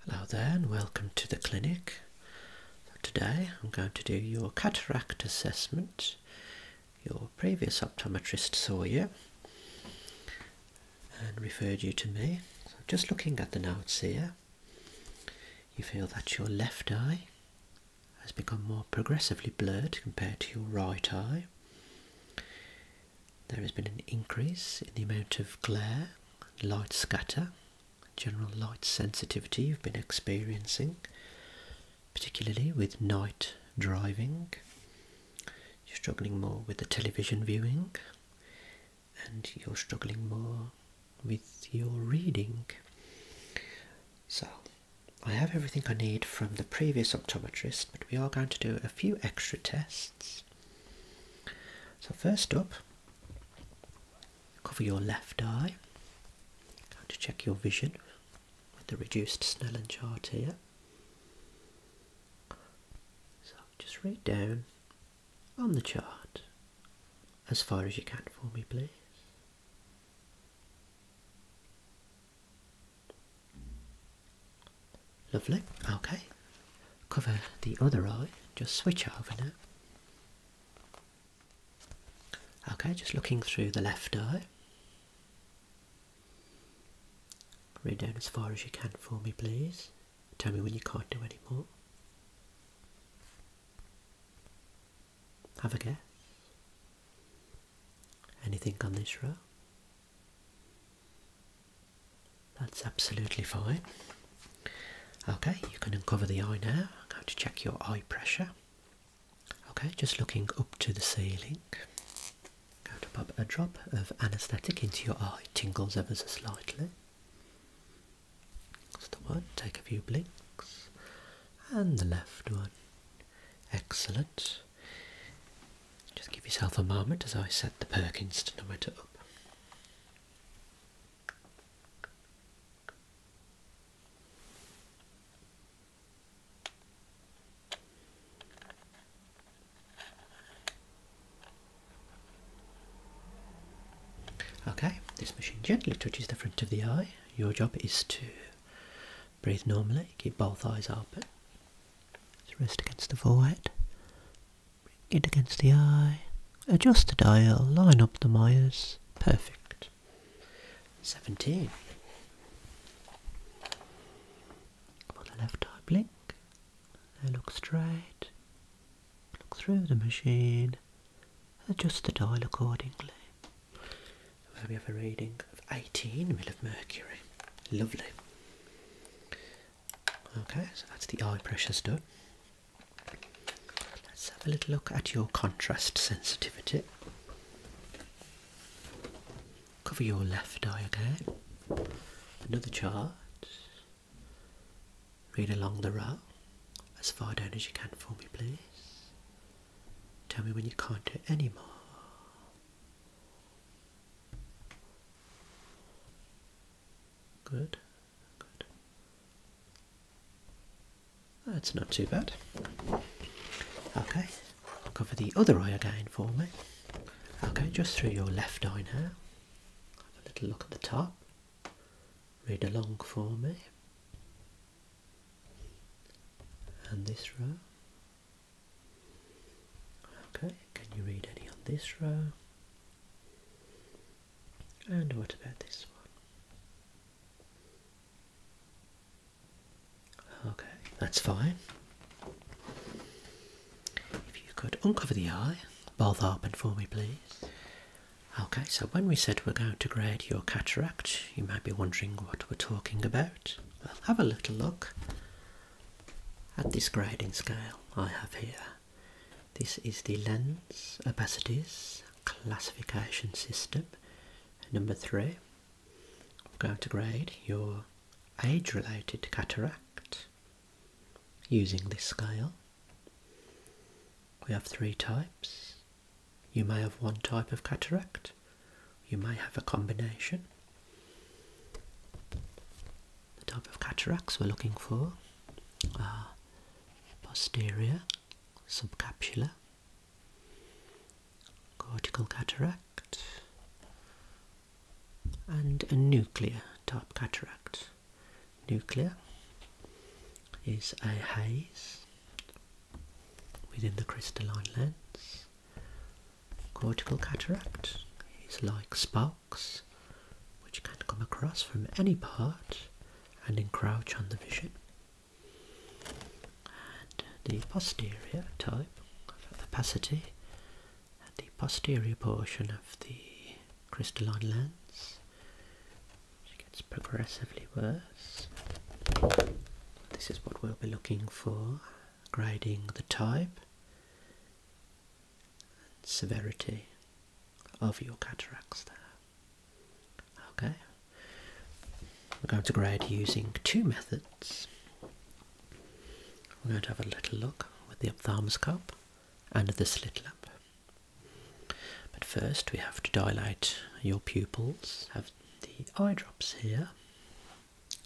Hello there and welcome to the clinic. today I'm going to do your cataract assessment. Your previous optometrist saw you and referred you to me. just looking at the notes here, you feel that your left eye has become more progressively blurred compared to your right eye. There has been an increase in the amount of glare, light scatter, general light sensitivity you've been experiencing, particularly with night driving. You're struggling more with the television viewing, and you're struggling more with your reading. So, I have everything I need from the previous optometrist, but we are going to do a few extra tests so first up, cover your left eye. to check your vision with the reduced Snellen chart here. So just read down on the chart as far as you can for me, please. Lovely, okay. Cover the other eye, just switch over now. Okay, just looking through the left eye. Read down as far as you can for me, please. Tell me when you can't do any more. Have a guess. Anything on this row? That's absolutely fine. Okay, you can uncover the eye now. I'm going to check your eye pressure. Okay, just looking up to the ceiling. I'm going to pop a drop of anaesthetic into your eye, tingles ever so slightly. the one, take a few blinks. And the left one. Excellent. Just give yourself a moment as I set the Perkins tonometer up. Okay, this machine gently touches the front of the eye. Your job is to Breathe normally, keep both eyes open. rest against the forehead. Bring it against the eye. Adjust the dial, line up the Myers. Perfect. 17. on the left eye, blink. Now look straight. Look through the machine. Adjust the dial accordingly we have a reading of 18 mil of mercury. Lovely. Okay, so that's the eye pressure done. Let's have a little look at your contrast sensitivity. Cover your left eye again. Another chart. Read along the row, as far down as you can for me, please. Tell me when you can't do any more. Good, good. That's not too bad. Okay, cover the other eye again for me. Okay, just through your left eye now. Have a little look at the top. Read along for me. And this row. Okay, can you read any on this row? And what about this one? Okay, that's fine. If you could uncover the eye, both open for me please. Okay, so when we said we're going to grade your cataract, you might be wondering what we're talking about out, will have a little look at this grading scale I have here. This is the Lens Opacities Classification System number three. I'm going to grade your age related cataract using this scale. We have three types you may have one type of cataract, you may have a combination. The type of cataracts we're looking for are posterior, subcapsular, cortical cataract, and a nuclear type cataract. Nuclear is a haze within the crystalline lens. Cortical cataract is like sparks which can come across from any part and encroach on the vision. And the posterior type of opacity and the posterior portion of the crystalline lens it gets progressively worse. This is what we'll be looking for, grading the type and severity of your cataracts there. Okay. We're going to grade using two methods. We're going to have a little look with the ophthalmoscope and the slit lamp. But first we have to dilate your pupils. Have the eye drops here.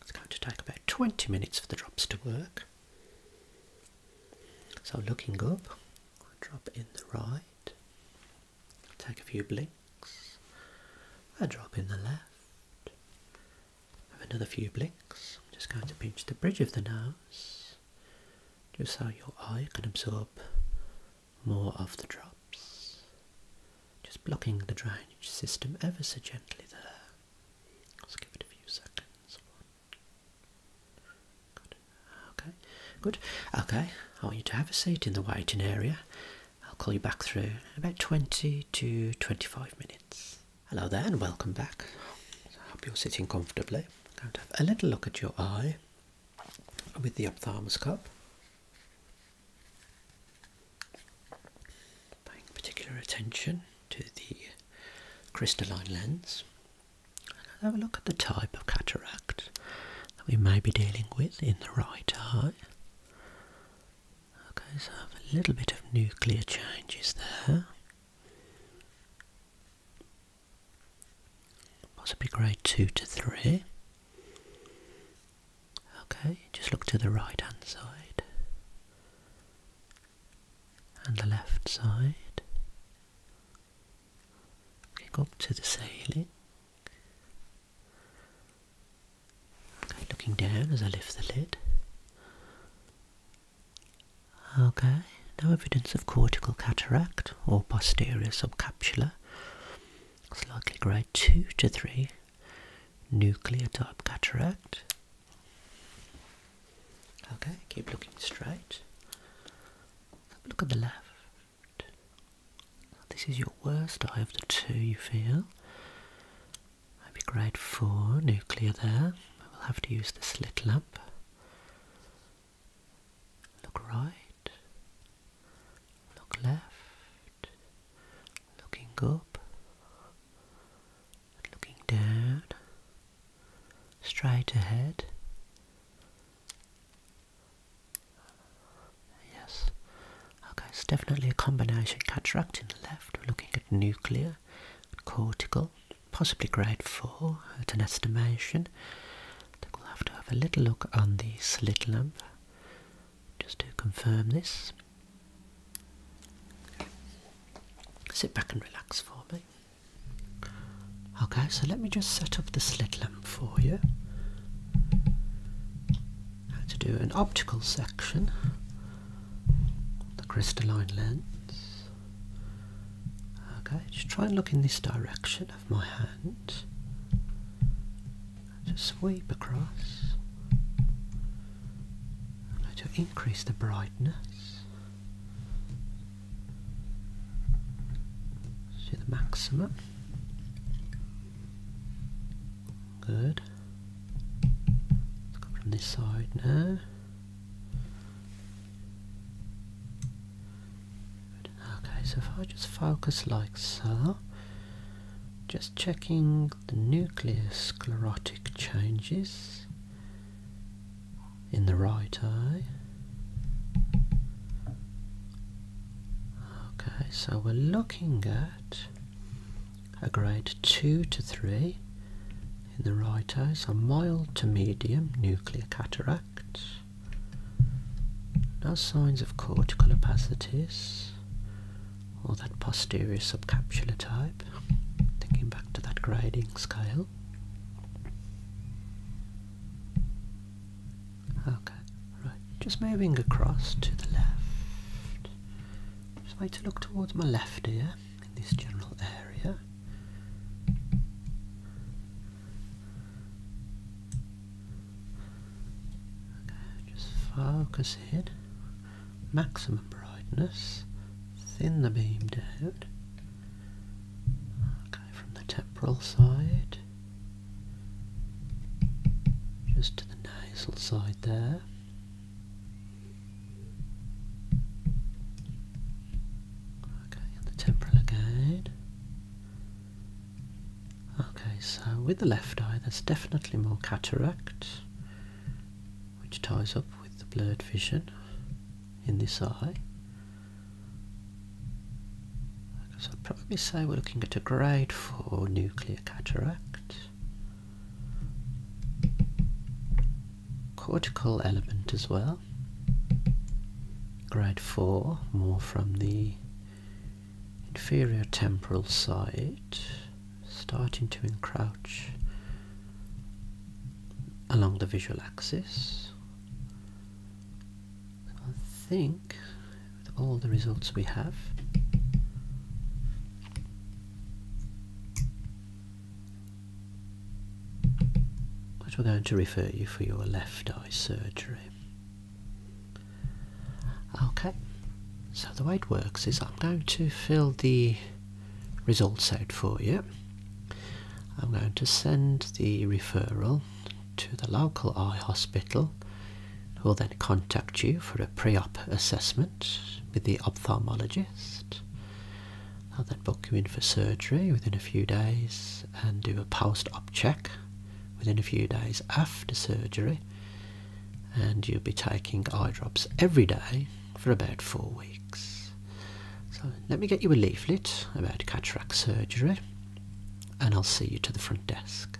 It's going to take about 20 minutes for the drops to work. So looking up, drop in the right, take a few blinks, a drop in the left, have another few blinks. I'm just going to pinch the bridge of the nose, just so your eye can absorb more of the drops. Just blocking the drainage system ever so gently there. Let's give it a few seconds. Good. Okay, good. Okay, I want you to have a seat in the waiting area. I'll call you back through about 20 to 25 minutes. Hello there and welcome back. I hope you're sitting comfortably. I'm going to have a little look at your eye with the ophthalmoscope, paying particular attention to the crystalline lens. And have a look at the type of cataract that we may be dealing with in the right eye. Okay, so I have a little bit of nuclear changes there possibly grade 2 to 3. Okay, just look to the right hand side and the left side. Looking up to the ceiling. Okay, looking down as I lift the lid. Okay, no evidence of cortical cataract or posterior subcapsular. Slightly grade 2 to 3 nuclear type cataract. Okay, keep looking straight. Look at the left. This is your worst eye of the two you feel. Maybe grade 4 nuclear there. We'll have to use the slit lamp. Look right, look left, looking up looking down, straight ahead. Yes, okay, it's definitely a combination cataract in the left, we're looking at nuclear cortical, possibly grade 4 at an estimation. we'll have to have a little look on the slit lamp just to confirm this. Sit back and relax for me. Okay, so let me just set up the slit lamp for you. How to do an optical section, the crystalline lens. Okay, just try and look in this direction of my hand. Just sweep across. to increase the brightness See the maximum. Good. from this side now. Okay, so if I just focus like so, just checking the nuclear sclerotic changes in the right eye. Okay, so we're looking at a grade 2 to 3 in the right eye, so mild to medium nuclear cataracts. No signs of cortical opacities or that posterior subcapsular type, thinking back to that grading scale. Okay, right, just moving across to the left. Just wait to look towards my left ear in this general area. Okay, just focus in, maximum brightness, thin the beam down. Okay, from the temporal side, just to the nasal side there. Okay, the temporal again. Okay, so with the left eye, there's definitely more cataract, which ties up with the blurred vision in this eye. So I'd probably say we're looking at a grade 4 nuclear cataract cortical element as well. Grade 4, more from the inferior temporal side, starting to encroach along the visual axis. I think with all the results we have, but we're going to refer you for your left eye surgery. Okay, so the way it works is I'm going to fill the results out for you. I'm going to send the referral to the local eye hospital we will then contact you for a pre-op assessment with the ophthalmologist. I'll then book you in for surgery within a few days and do a post-op check within a few days after surgery and you'll be taking eye drops every day for about four weeks. So let me get you a leaflet about cataract surgery and I'll see you to the front desk.